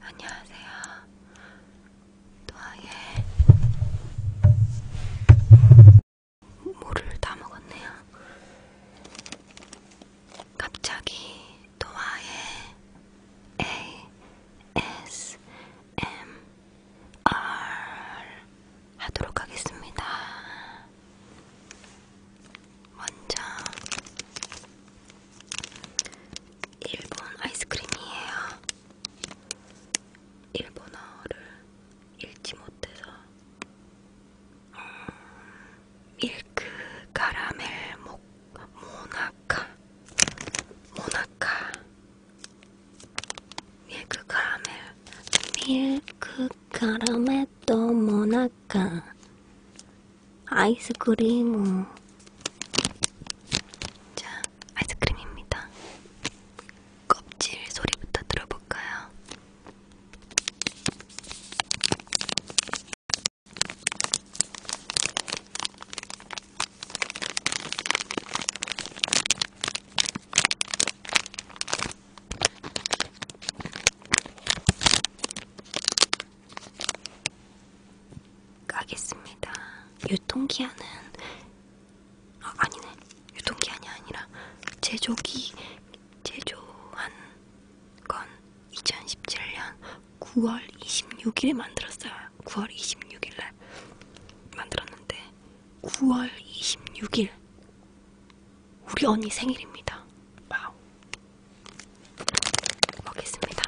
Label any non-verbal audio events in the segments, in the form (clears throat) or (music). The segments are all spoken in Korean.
안녕하세요. 도아의 물을 다 먹었네요. 갑자기 도아의 ASMR R 하도록 하겠습니다. 먼저 1번 아이스크림이에요. 일본어를 읽지 못해서 음, 밀크 카라멜 목 모나카 모나카 밀크 카라멜 밀크 카라멜 또 모나카 아이스크림 자 아이스크림입니다 껍질 소리부터 들어볼까요? 가겠습니다. 유통기한은 아, 아니네. 유통기한이 아니라 제조기 제조한 건 2017년 9월 26일에 만들었어요. 9월 26일 날 만들었는데 9월 26일 우리 언니 생일입니다. 와우. 먹겠습니다.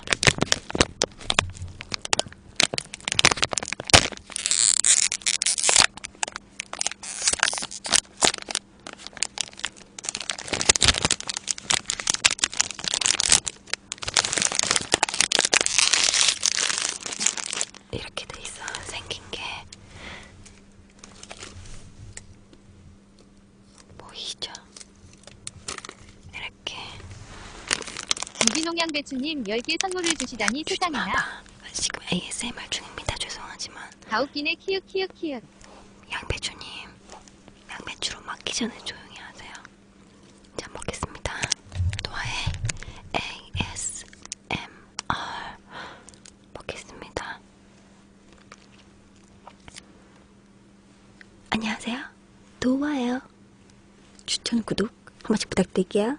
이렇게 돼 있어 생긴 게 보이죠? 이렇게 무진농양 배추님 10개 선물을 주시다니 세상에나 지금 ASMR 아, 중입니다 죄송하지만 다웃기네 키읔 키읔 키읔 양배추님 양배추로 막기 전에 조용히 하세요 잘 먹겠습니다 또아의 ASMR ASMR 먹겠습니다. 안녕하세요. 도와요. 추천, 구독 한 번씩 부탁드릴게요.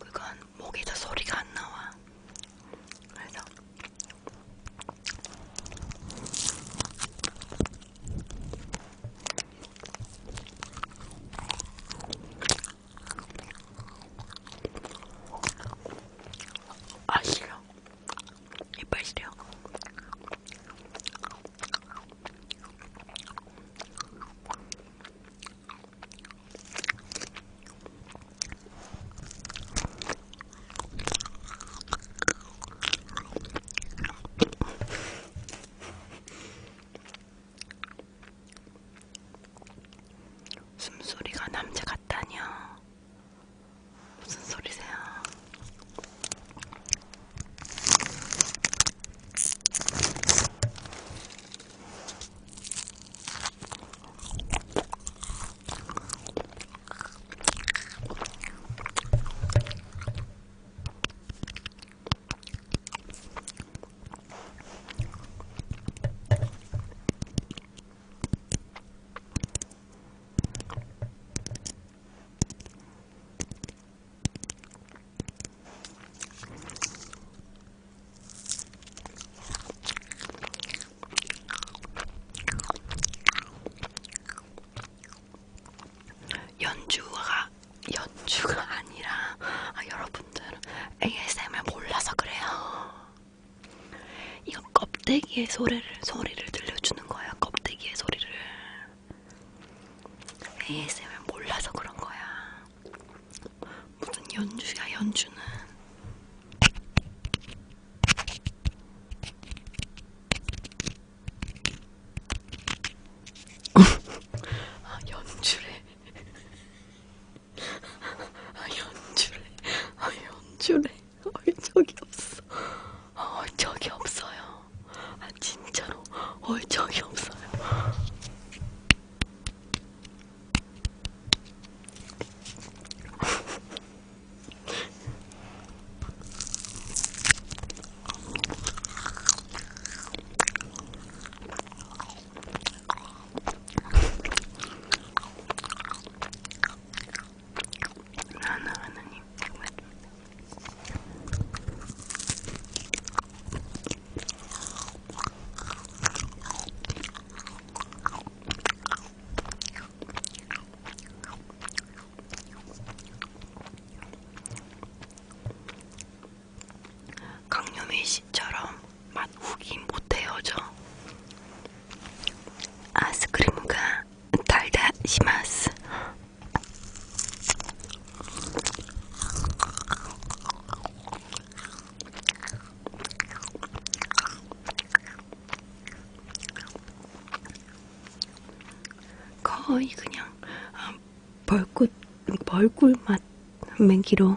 그건 목에서 소리가 안 나와. 그래서 아 싫어. 이빨이래요. 숨소리가 남자 같다냐? 무슨 소리세요? 연주가 연주가 아니라 아, 여러분들은 ASMR 몰라서 그래요. 이거 껍데기의 소리를, 소리를 들려주는 거야. 껍데기의 소리를. ASMR 몰라서 그런 거야. 무슨 연주야, 연주는. (laughs) 아, 연주래. 아, 연출해. 아, 연출해. 얼적이 아, 없어. 아, 얼적이 없어요. 아, 진짜로 얼적이 아, 없어요. 하나 하나님 고맙습니다. 강요미 씨처럼 맛 후기 못해요죠. 아스크림가 달다시마스. 거의 그냥 아, 벌꿀 벌꿀 맛 맹기로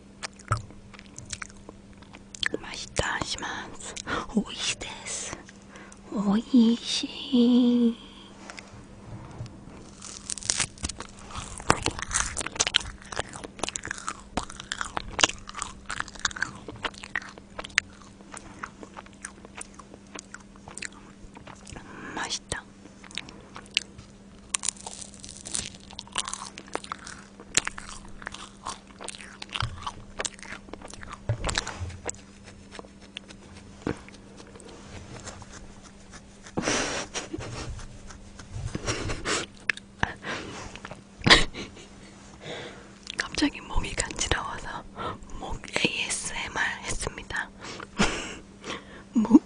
まあ、一します。おいしいです。おいしい。ました。(laughs) 갑자기 목이 간지러워서 목 ASMR 했습니다. 목 (laughs)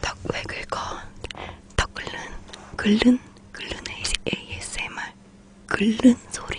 닭왜 긁어? 닭 긁는? 긁는? 글른 ASMR 글른 소리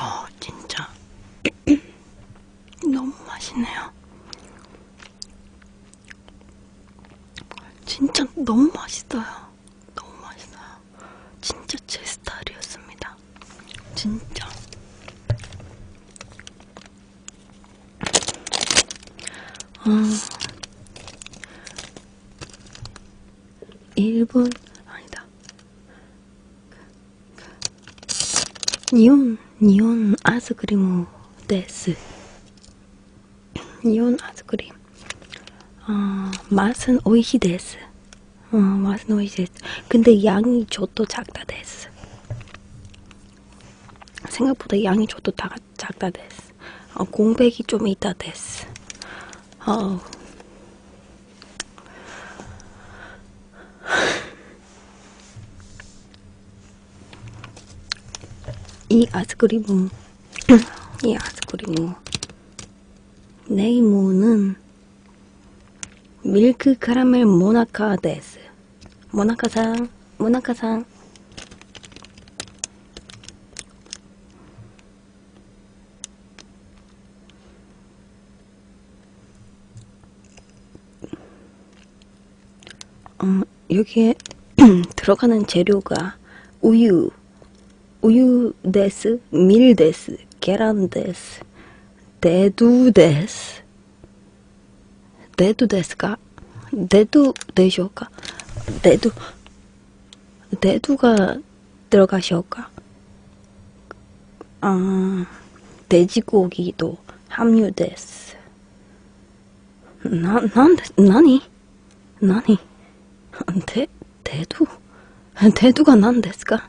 어, 진짜 (clears throat) 너무 맛있네요. 진짜 너무 맛있어요. 너무 맛있어요. 진짜 제 스타일이었습니다. 진짜. 어, 일본, 아니다. 니온, 니온 아이스크림 데스. 니온 아이스크림. 아, 어, 맛은 오이시 데스. 어, 맛은 오이시 데스. 근데 양이 저도 작다 데스. 생각보다 양이 저도 다 작다 됐어. 어, 공백이 좀 있다 됐어. 어. 이 아이스크림은 (clears throat) 이 아이스크림은 네이모는 밀크 카라멜 모나카 데스 모나카상 모나카상 어, 여기에 (clears throat) 들어가는 재료가 우유, 우유 데스, 밀 데스, 계란 데스, 대두 데스, デートですかデートでしょうかデート、デートがどうかしょかあー、デジコーギーとハムユです。な、なんで、なになにデート (laughs) デートが何ですか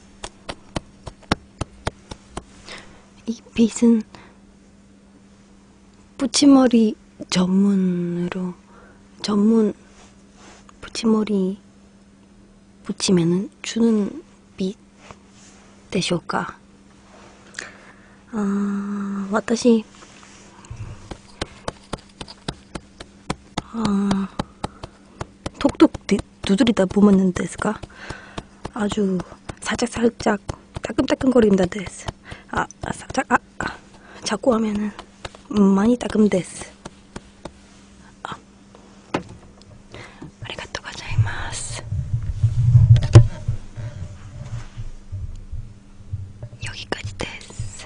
이 빗은 붙임머리 전문으로 전문 붙임머리 붙이면은 주는 빗でしょうか 아, 私 아, 톡톡 두드리다 보면 데스가 아주 살짝살짝 따끔따끔거린다 데스 아, 아 살짝 아, 아 자꾸 하면은 많이 따끔 데스 아 아리가또 가자이마스 여기까지 데스